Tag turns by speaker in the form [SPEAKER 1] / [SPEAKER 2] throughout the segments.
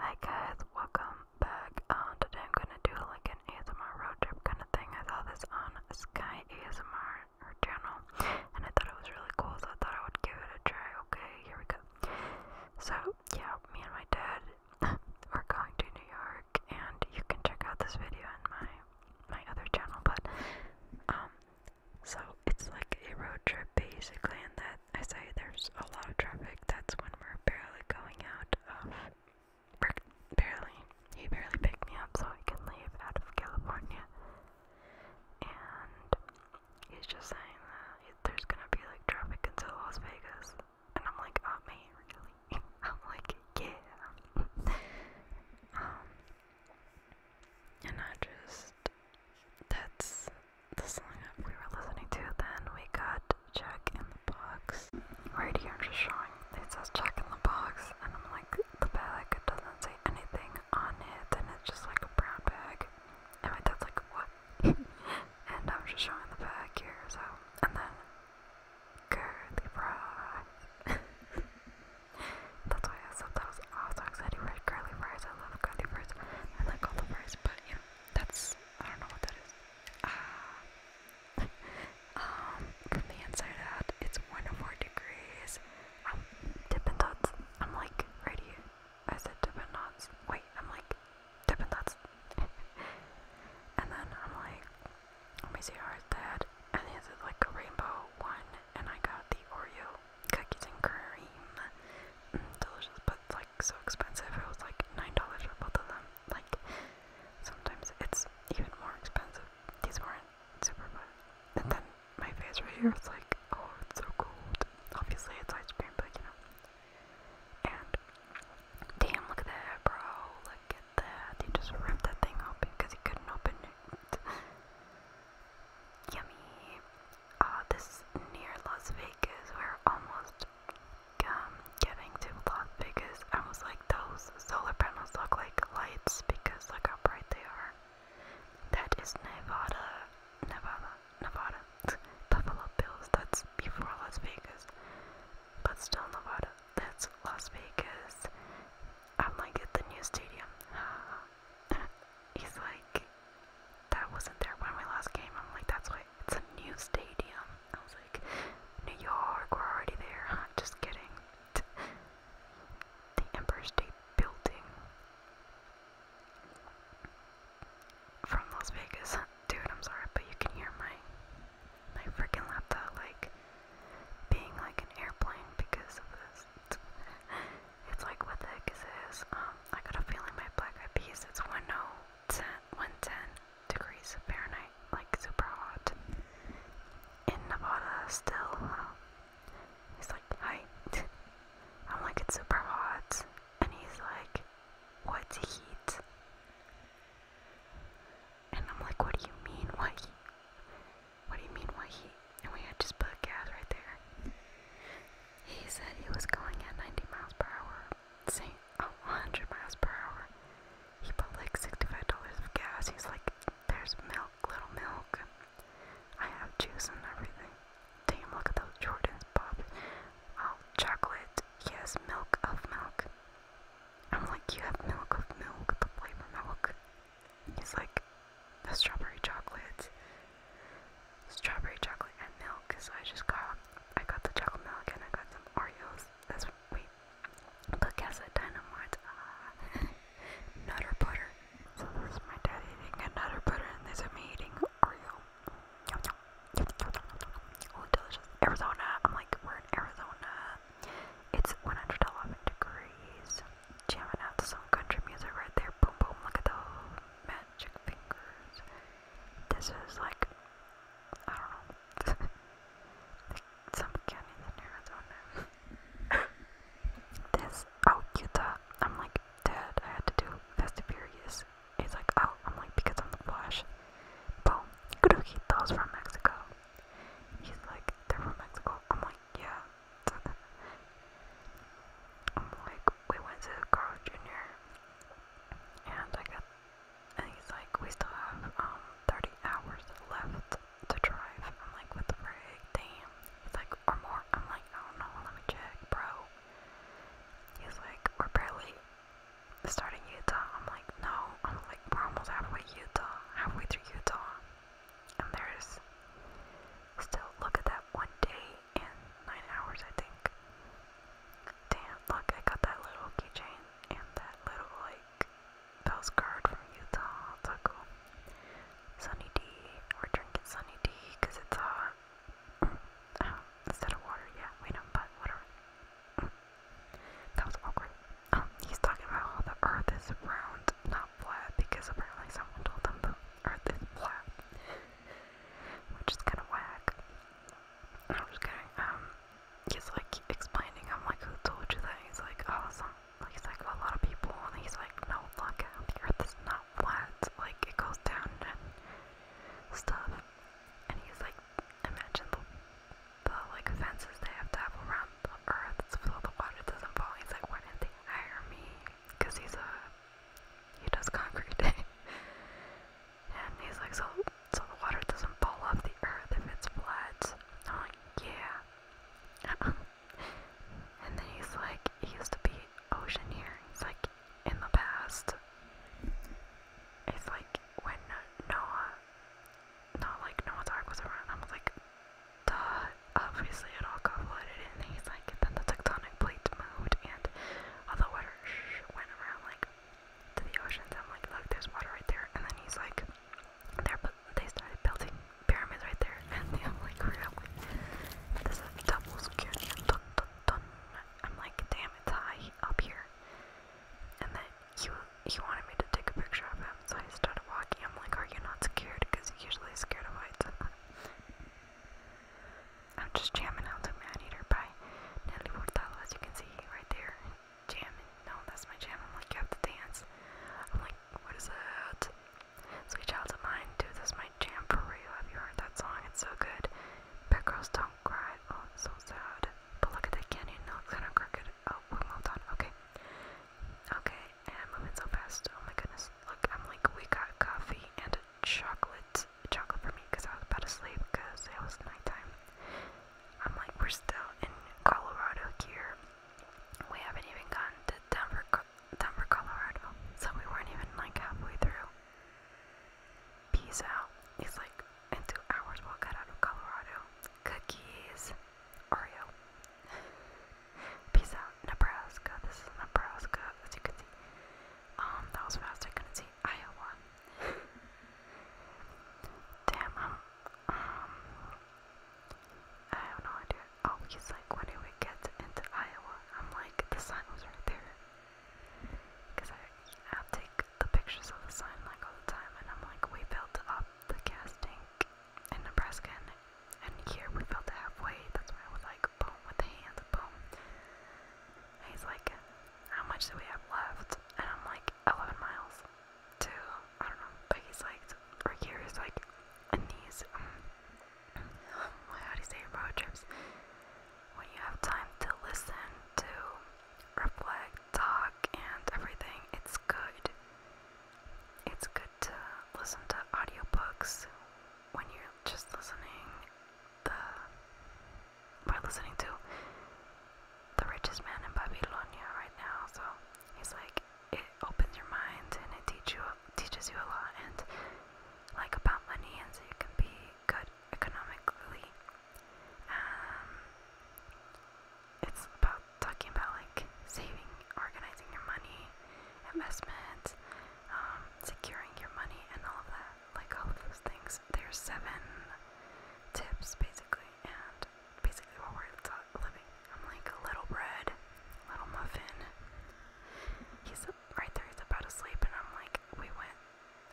[SPEAKER 1] Hi guys, welcome back. Uh, today I'm gonna do like an ASMR road trip kind of thing. I saw this on Sky ASMR channel, and I thought it was really cool, so I thought I would give it a try. Okay, here we go. So yeah, me and my dad are going to New York, and you can check out this video on my my other channel. But um, so it's like a road trip basically, and that I say there's a lot of traffic, that's when we're barely going out of. Barely. He barely picked me up so I can leave out of California. And he's just saying that there's gonna be like traffic into Las Vegas. And I'm like, oh man, really? I'm like, yeah. Um, and I just, that's the song we were listening to then, we got check in the Box. Right here, I'm just showing. It says check in the Box, and I'm like, the bag doesn't say anything on it, and it's just like a brown bag. And my dad's like, what? and I'm just showing the bag here, so. And then, Curly Fries. That's why I said that was also because I do curly fries. I love curly fries. I like all the fries, but yeah, that's I don't know what that is. Ah. um, from the inside out, it's 104 degrees. I'm dipping dots. I'm like right here. I said dipping dots. Wait, I'm like dipping dots. and then I'm like, let me see how it's that? And he is like a rainbow one, and I got the Oreo cookies and cream. Mm, delicious, but so expensive. It was like nine dollars for both of them. Like sometimes it's even more expensive. These weren't super fun. And then my face right here is like, oh, it's so cold. Obviously it's ice cream, but you know. And damn, look at that, bro. Look at that. He just ripped that thing open because he couldn't open it. Yummy. Uh, this near Las Vegas. We're almost um, getting to Las Vegas, I was like, those solar panels look like lights because look how bright they are. That is Nevada, Nevada, Nevada, Buffalo Bills. That's before Las Vegas, but still Nevada. That's Las Vegas. I'm like at the new stadium. He's like, that wasn't there when we last came. I'm like, that's why it's a new stadium. I was like, New York, we're already there. Huh? Just kidding. the Empire State Building from Las Vegas. Dude, I'm sorry, but you can hear my my freaking laptop like being like an airplane because of this. It's like what the heck is this? Um, I got a feeling my black eyed peas. It's one no oh. 10, 110 degrees Fahrenheit, like super hot. In Nevada, still. he's like, hi. I'm like, it's super hot. And he's like, what heat? And I'm like, what do you mean, what heat? What do you mean, what heat? And we had just put gas right there. He said he was going at 90 miles per hour say 100 miles per hour. He put like $65 of gas. He's like, there's milk, little milk. I have juice and everything. Damn, look at those Jordans, Bob. Oh, chocolate. Yes, milk of milk. I'm like, you have milk of milk, the flavor milk. He's like, the strawberry chocolate strawberry chocolate and milk. So I just got I got the chocolate milk and I got some Oreos. That's wait, Cookasa Dynamite uh, nutter butter. So there's my dad eating a nutter butter, and there's is me eating Oreo. Oh, delicious. Arizona. I'm like, we're in Arizona. It's 111 degrees. Jamming out to some country music right there. Boom, boom. Look at those magic fingers. This is like, I don't know, some canyons in Arizona. this, oh, Utah, I'm like, Dad, I had to do Festivarius. and He's like, oh, I'm like, because I'm the Flash. Boom, Kudoki, those from Mexico. He's like, they're from Mexico. I'm like, yeah. I'm like, we went to Carl Jr. and I got and he's like, we still have um 30 hours left to drive. I'm like, with the frig? Damn. He's like, or more. I'm like, I don't know. Let me check, bro. He's like, we're barely starting Utah. I'm like, no. I'm like, we're almost halfway Utah, halfway through Utah. And there's still, look at that one day and nine hours, I think. Damn, look, I got that little keychain and that little, like, postcard from Utah. It's so cool. Sunny D. We're drinking Sunny D because it's hot. Oh, instead of water, yeah, we know, but whatever. That was awkward. Um, he's talking about how the earth is round, not flat, because apparently someone told them the earth is flat. Which is kind of whack. I'm just going, um, just like explaining, I'm like, who told you that? He's like, oh, some, he's like, a lot of people. And he's like, no, look, the earth is not flat. Like, it goes down and stuff. And he's like, imagine the, the like, fences they have to have around the earth so the water doesn't fall. He's like, why didn't they hire me? Because he's a, he does concrete. And he's like, so, so the water doesn't fall off the earth if it's flat. I'm like, yeah. and then he's like, used to be ocean here. He's like, in the past. It's like when Noah, not like Noah's Ark was around. I was like, duh, obviously it all got flooded. And he's like, then the tectonic plates moved and all the water went around like to the oceans. I'm like, look, there's water right there. And then he's like, there, but they started building pyramids right there. And I'm like, really? This is double security. Dun, dun, dun. I'm like, damn, it's high up here. And then he, he wanted me to take a picture of him, so I started walking. I'm like, are you not scared? Because you're usually scared of heights. I'm just jamming out to Man Eater by Nelly Furtado, as you can see right there. Jamming. No, that's my jam. I'm like, you have to dance. I'm like, what is that? Sweet Child of Mine, dude, is my jam for real. Have you heard that song? It's so good. Bad Girls Don't Cry. Oh, it's so sad. But look at the canyon. No, it's kind of crooked. Oh, we moved on. Okay. Okay, and I'm moving so fast. Oh my goodness. Look, I'm like, we got coffee and chocolate chocolate for me because I was about to sleep because it was nighttime. I'm like, we're still in Colorado here. We haven't even gotten to Denver, Denver, Colorado, so we weren't even like halfway through. Peace out. It's like in two hours we'll get out of Colorado. Cookies, Oreo. Peace out, Nebraska. This is Nebraska, as you Um, that was fast. I couldn't see Iowa. Damn, um, um, I have no idea. Oh, he's like, when did we get into Iowa? I'm like, the sign was right there. Because I, I take the pictures of the sign like all the time, and I'm like, we built up the gas tank in Nebraska, and, and here we built it halfway. That's why I was like, with the hands, boom. he's like, how much do we have left? And I'm like, 11 miles to, I don't know, Becky's like, or Kira's like, in these, um, how do you say road trips? When you have time to listen, to reflect, talk, and everything, it's good. It's good to listen to audiobooks when you're just listening the we're listening to the richest man in Babylonia right now. So he's like, it opens your mind and it teach you teaches you a lot and like about money and so you can be good economically. Um, it's about talking about like saving, organizing your money, investment, um, securing your money, and all of that, like all of those things there's seven tips basically, and basically what we're living. I'm like a little bread, little muffin. He's right there. He's about to sleep, and I'm like, we went.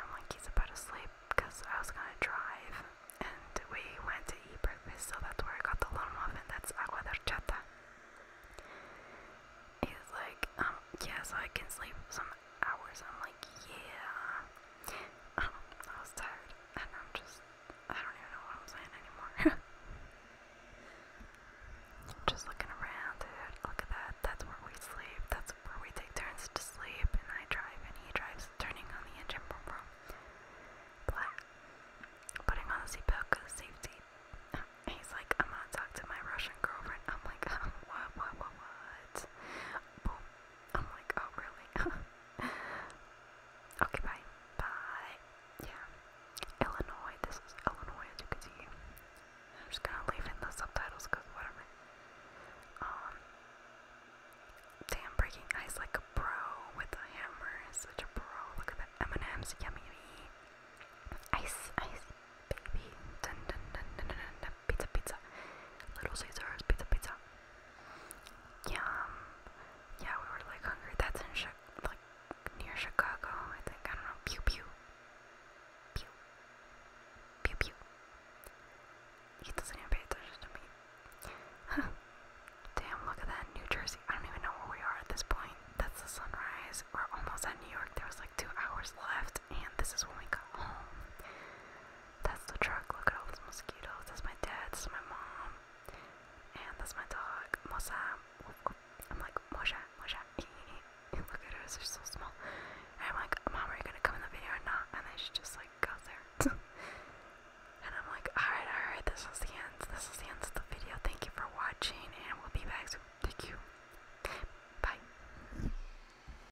[SPEAKER 1] I'm like, he's about to sleep because I was gonna drive, and we went to eat breakfast, so that's where I got the little muffin. That's agua de horchata. He's like, um, yeah, I can sleep. So hours. I'm like, yeah. I was tired, and I'm just, I don't even know what I'm saying anymore. just looking around, Look at that. That's where we sleep. That's where we take turns to sleep, and I drive, and he drives, turning on the engine, boom, boom. Black. Putting on the seatbelt because safety. He's like, I'm gonna talk to my Russian girlfriend. I'm like, what, what, what, what? Boom, I'm like, oh, really? okay, bye. Bye. Yeah. Illinois. This is Illinois, as you can see. I'm just gonna leave in the subtitles because whatever. Um. Damn, breaking ice like a pro with a hammer is such a pro. Look at that m yummy. Ice, ice, baby. Dun dun dun dun dun dun pizza, pizza. Little Caesars, pizza, pizza. Yum. Yeah, we were like hungry. That's in Chi like near Chicago, I think. I don't know. Pew pew. Pew. Pew pew. He doesn't even pay attention to me. Huh. Damn, look at that. New Jersey. I don't even know where we are at this point. That's the sunrise. We're almost at New York. There was like two hours left, and this is when we got home. That's the truck. Look at all those mosquitoes. That's my dad. That's my mom. And that's my dog, Mosa. I'm like, Mosha, Mosha. Look at her. They're so small. And I'm like, Mom, are you going to come in the video or not? And then she just like goes there. and I'm like, alright, alright. This is the end. This is the end of the video. Thank you for watching. And we'll be back soon. Take you. Bye.